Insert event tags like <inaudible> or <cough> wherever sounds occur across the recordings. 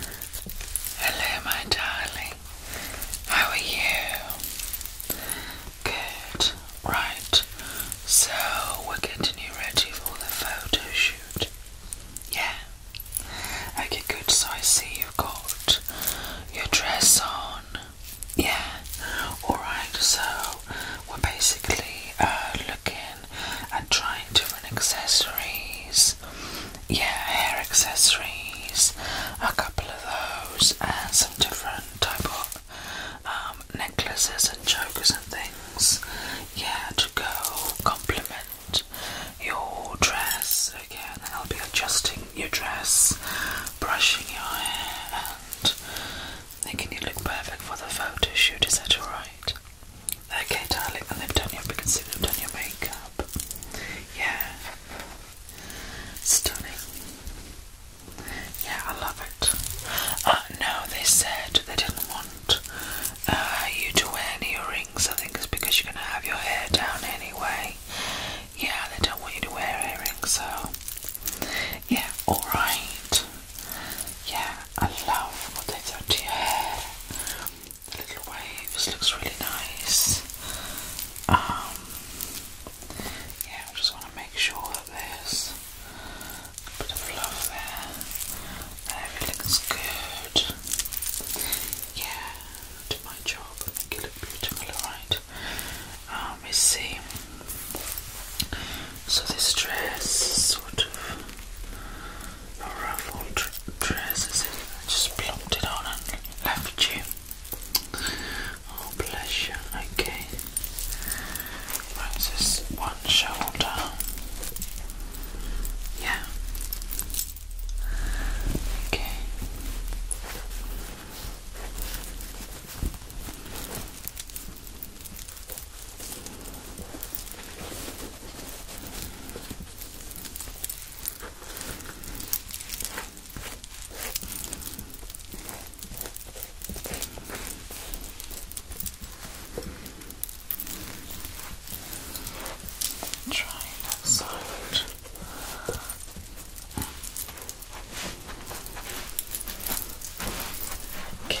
Hello, my darling. How are you? Good. Right. So, we're getting you ready for the photo Yeah. Okay, good. So, I see you've got your dress on. Yeah. Alright, so we're basically uh, looking at trying different accessories yeah, hair accessories, a couple of those, and some different type of um, necklaces and chokers and things. Yeah, to go complement your dress again, and I'll be adjusting your dress, brushing your hair, and making you look perfect for the photo shoot. Is that alright? Okay, darling, i they've done your, we can see they've done your makeup. Yeah. Stunning. Yeah, I love it. Uh, no, they said they didn't want uh, you to wear any earrings. I think it's because you're going to have your hair down anyway. Yeah, they don't want you to wear earrings, so. Yeah, alright. Yeah, I love what they've done to your hair the little waves looks really nice. Um, yeah, I just want to make sure that there's a bit of love there, and everything's good. Yeah, do my job it look beautiful, alright? let's um, see. So this dress sort of ruffled trousers in. I just plopped it on and left you. Oh, bless Okay. Right, so one shoulder. Yeah. Okay. Try that side. Okay.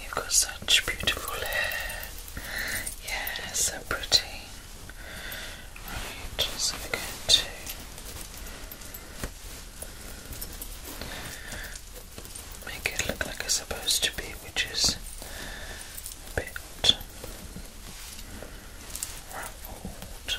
You've got such beautiful hair. Yeah, so pretty. Right, so we're going to make it look like it's supposed to be, which a bit ruffled.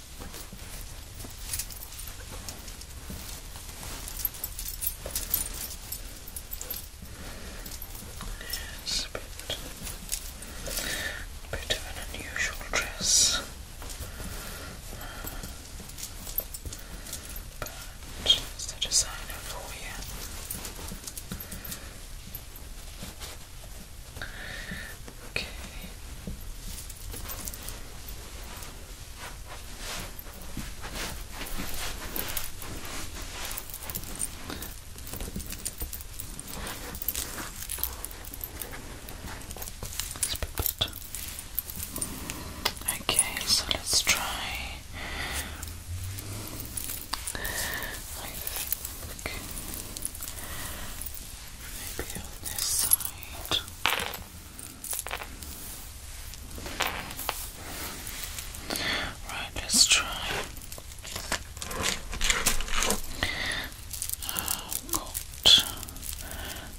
It's a bit, of an unusual dress, but it's the designer for you. Okay. Okay, so let's try. I Right, let's try. Oh God!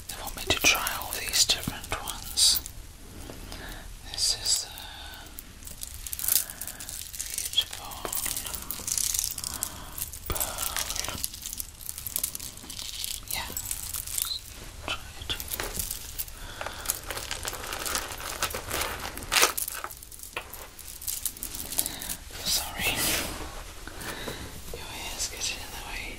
They want me to try all these different ones. This is a beautiful pearl. Yeah. try to Sorry, your hair's getting in the way.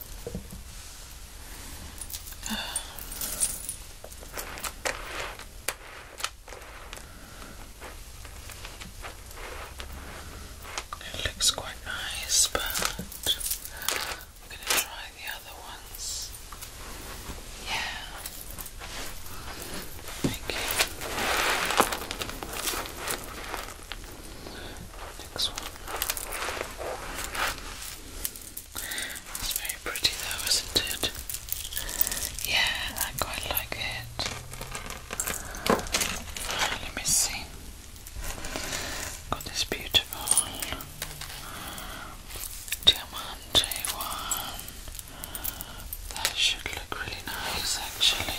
It looks quite nice, but I'm going to try the other ones. Yeah. Thank Next one. It's very pretty though, isn't it? Yeah, I quite like it. let me see. Got this beautiful diamante one. That should look really nice actually.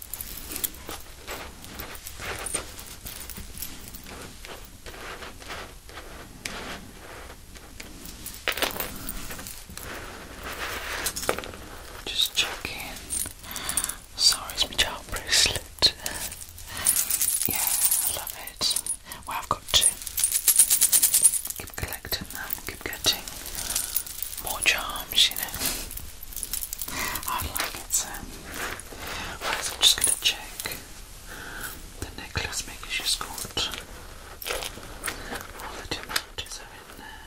Just check in. Sorry, it's my child bracelet. Yeah, I love it. Well, I've got two. Keep collecting them, keep getting more charms, you know. I like it so. I'm just going to check the necklace, making sure she all the diamonds are in there.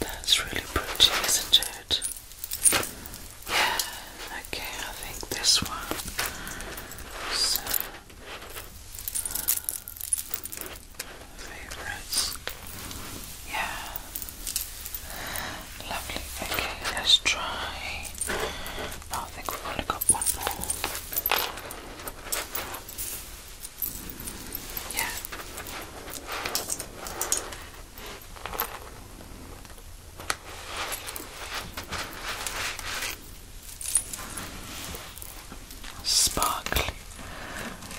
That's really pretty, isn't it? Yeah, okay, I think this one. favorites. Yeah. Lovely. Okay, let's try. Oh, I think we've only got one more. Yeah. Sparkly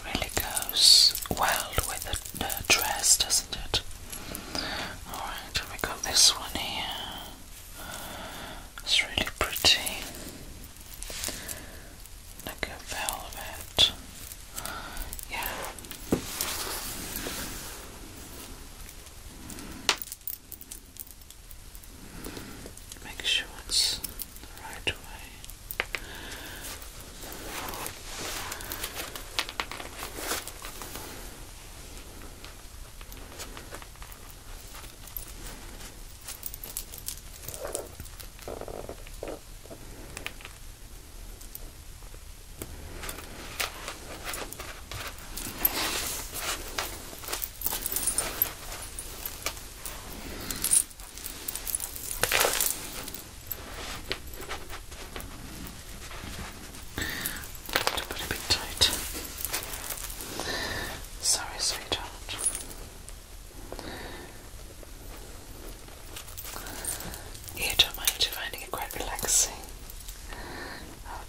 really goes well with the, dress, doesn't it? Alright, we got this one here. It's really pretty. Like a velvet. Yeah. Make sure it's the right way. Just to put a bit tight. Sorry, sweetheart. You don't mind, finding it quite relaxing. Oh,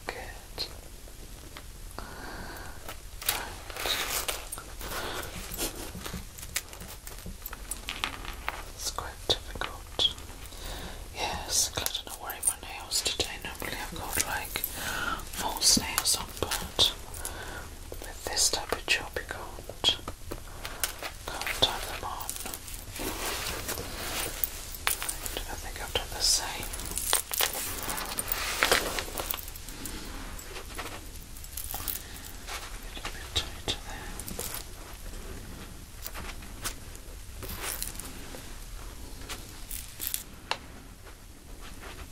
It's quite difficult. Yes, I don't worry my nails today. Normally I've got like false nails on, but with this type of job you can't, can't turn them on. I think I've done the same. A little bit tighter there that out.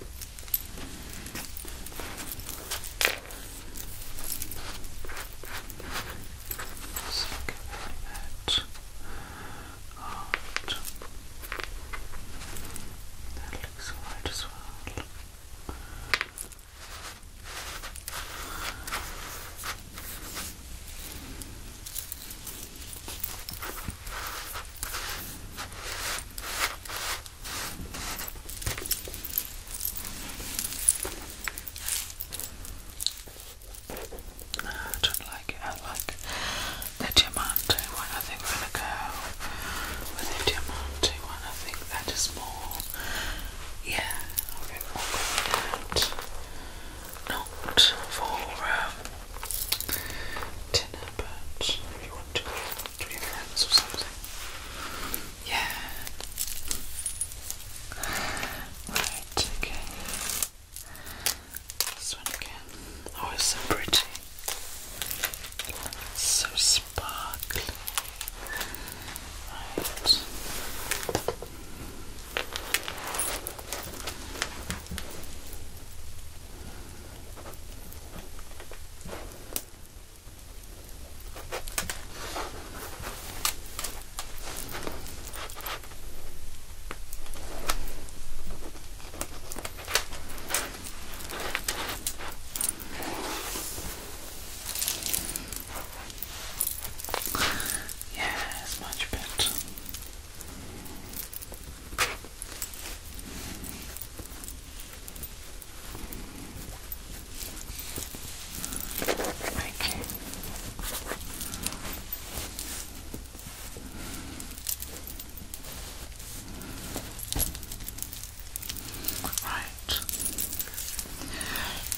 That looks alright as well. Okay. I don't like it. I like the Diamante one. I think we're going to go with the Diamante one. I think that is more. Yeah, Not for um, dinner, but what, 20 grams or something. Yeah. Right, okay. This one again. Oh, it's so pretty. so sparkly. Right. Yes, much better. Okay. Right.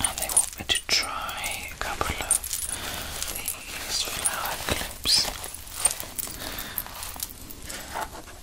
And they want me to try a couple of these flower clips.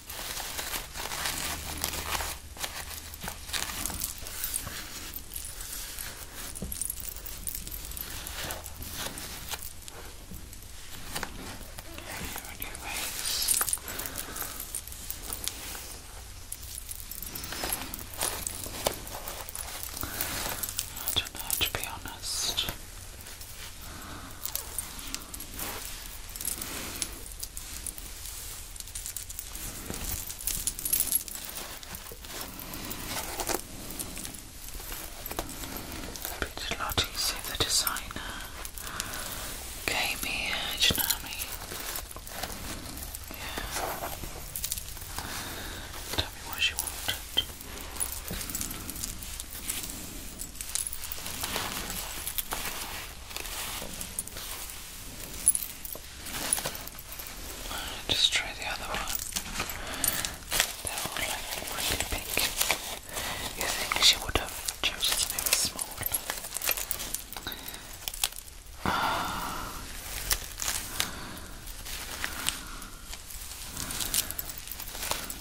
There on I don't know to be honest. But it's a lot easier the designer came here, do you Yeah. Tell me what she wanted. Just try the other one. They're all like really big. You think she would have chosen something small?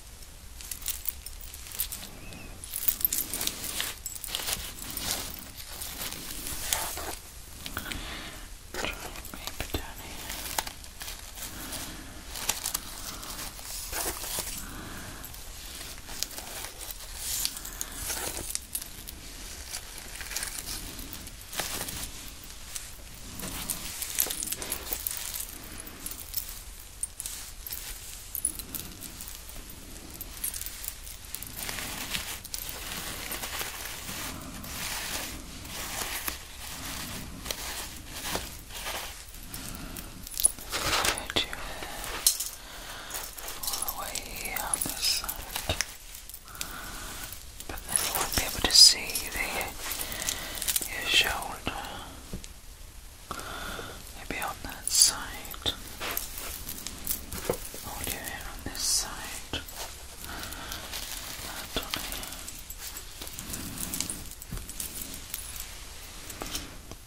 maybe down here. Okay. Put your all the way on this side. But then you won't be able to see the your corner. Maybe on that side. All your hair on this side.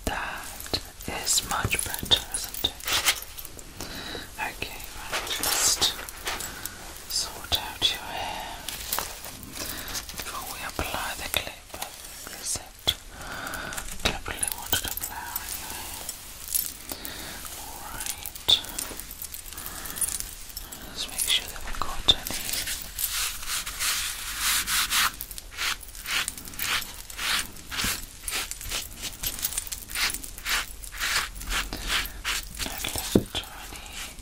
That is much better, isn't it? Okay, just sort out your hair before we apply the clip. Is it? Definitely want to apply on Alright. Let's make sure that we got any. Not left or any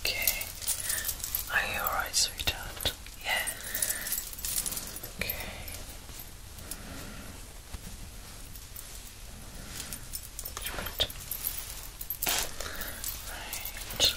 Okay. Are you alright, sweetheart? Yeah. Okay. Right. Right.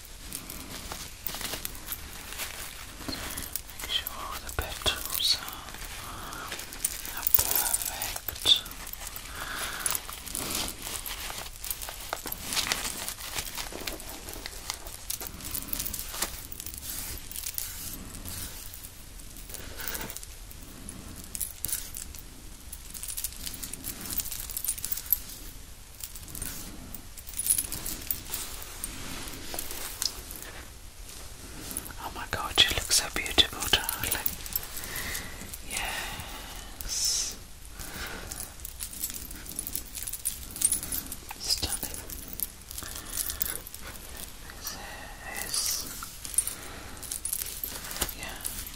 Make sure the petals are, perfect. Oh my god, you look so beautiful, darling. Yes. Stunning. This Yeah.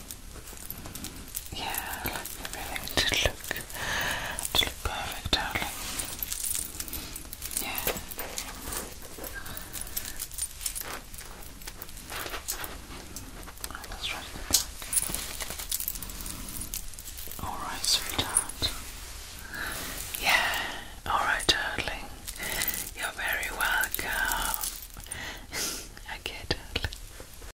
Yeah, let me really to look to look perfect, darling. Yeah. Alright, sweetheart. Yeah, alright, darling. You're very welcome. okay, <laughs> darling.